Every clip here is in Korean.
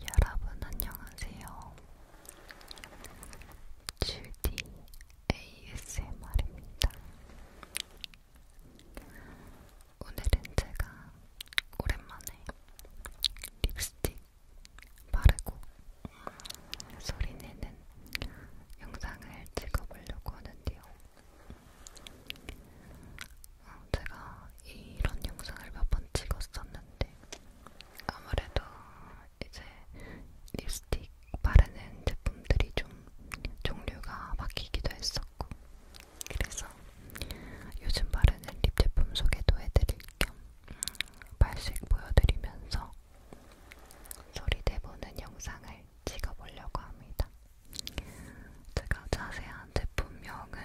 여러분 안녕하세요. 주디 ASMR입니다. 오늘은 제가 오랜만에 립스틱 바르고 음, 소리 내는 영상을 찍어보려고 하는데요. 어, 제가 이런 영상을 몇 번 찍었었는데 아무래도 이제 립스틱 바르는 제품들이 좀 종류가 바뀌기도 했었고 그래서 요즘 바르는 립 제품 소개도 해드릴 겸 음, 발색 보여드리면서 소리 내보는 영상을 찍어보려고 합니다. 제가 자세한 제품명은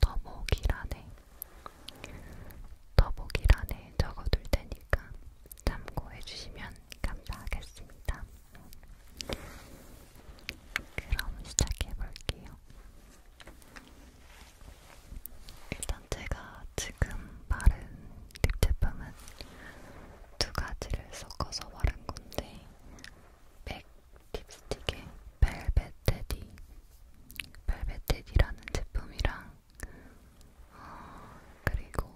더보기란에 더보기란에 적어둘 테니까 참고해주시면 감사하겠습니다. 그럼 시작해볼게요. 일단 제가 지금 바른 립 제품은 두 가지를 섞어서 바른 건데 맥 립스틱의 벨벳 테디 벨벳 테디라는 제품이랑 어, 그리고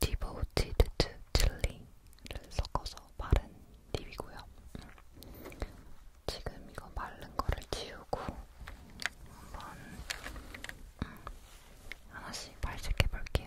디보티드트 칠리를 섞어서 바른 립이고요. 지금 이거 마른 거를 지우고 한번 음, 하나씩 발색해 볼게요.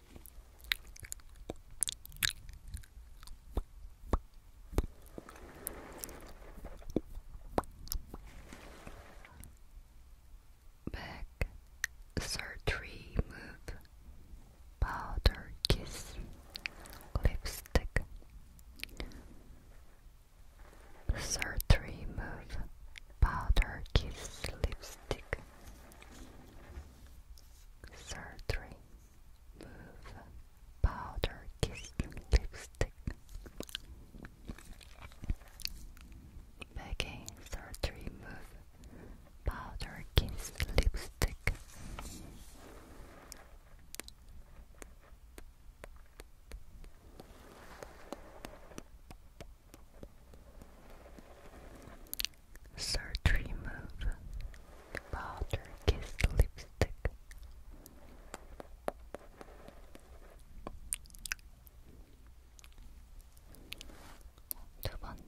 Back surgery move powder kiss lipstick surgery move powder kiss lipstick surgery move powder kiss lipstick Begging surgery move powder kiss lipstick Search remove powder kiss lipstick. 두 번째.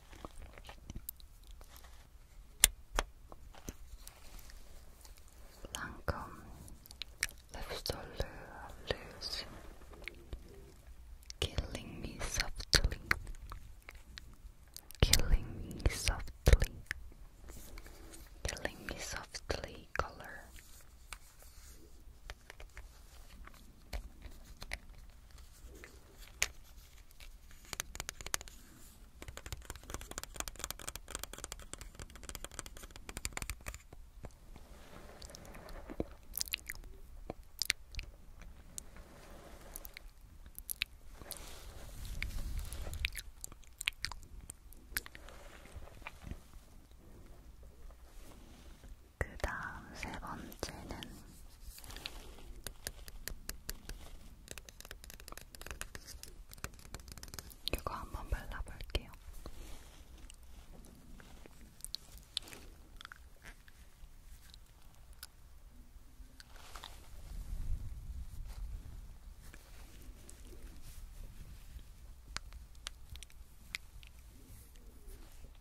Lancome left allure loose, killing me softly, killing me softly, killing me softly color. 그 다음 세 번째는 이거 한번 발라볼게요.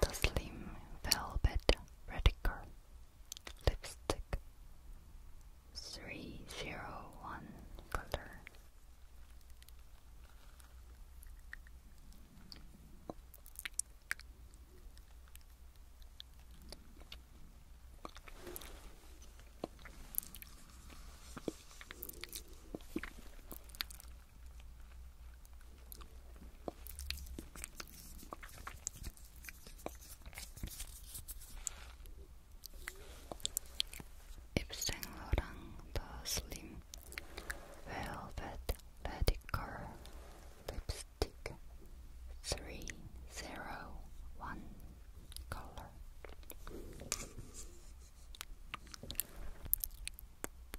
the slim velvet radical lipstick 301 color. Yves Saint Laurent Slim Velvet Radical Lipstick 301 Color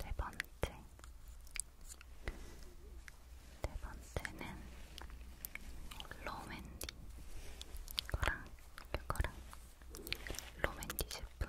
네 번째, 네 번째는 로맨디 거랑 그거랑 로맨디 제품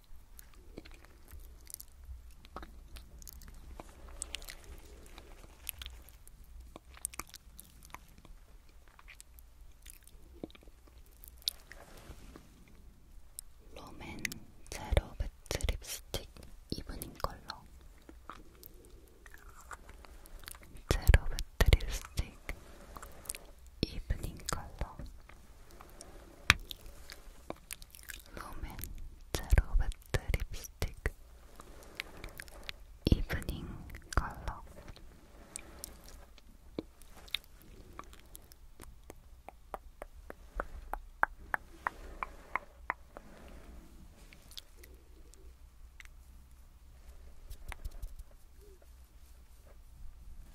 롬앤 제로 배트 립스틱 이브닝 컬러 제로 배트 립스틱 이브닝 컬러 롬앤 제로 매트 립스틱 이브닝 컬러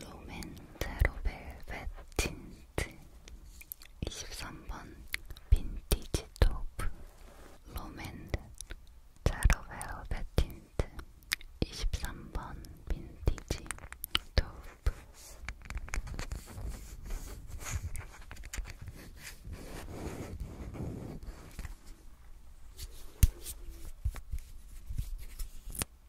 로맨제로 벨벳 틴트 23번 빈티지 도브 로맨드 제로 벨벳 틴트 23번 빈티지 도브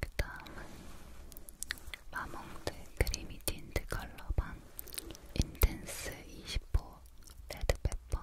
그 다음은 마몽드 크리미 틴트 컬러밤 인텐스 20호 레드페퍼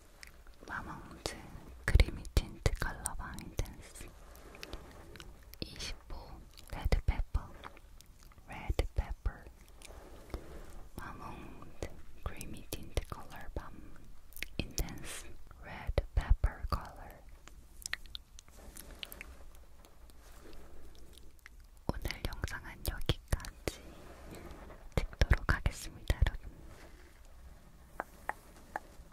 마몽즈 크리미 틴트 컬러 바밍 댄스 25 레드페퍼 레드페퍼 마몽드 크리미 틴트 컬러 밤 인텐스 레드페퍼 컬러 오늘 영상은 여기까지 찍도록 하겠습니다, 여러분.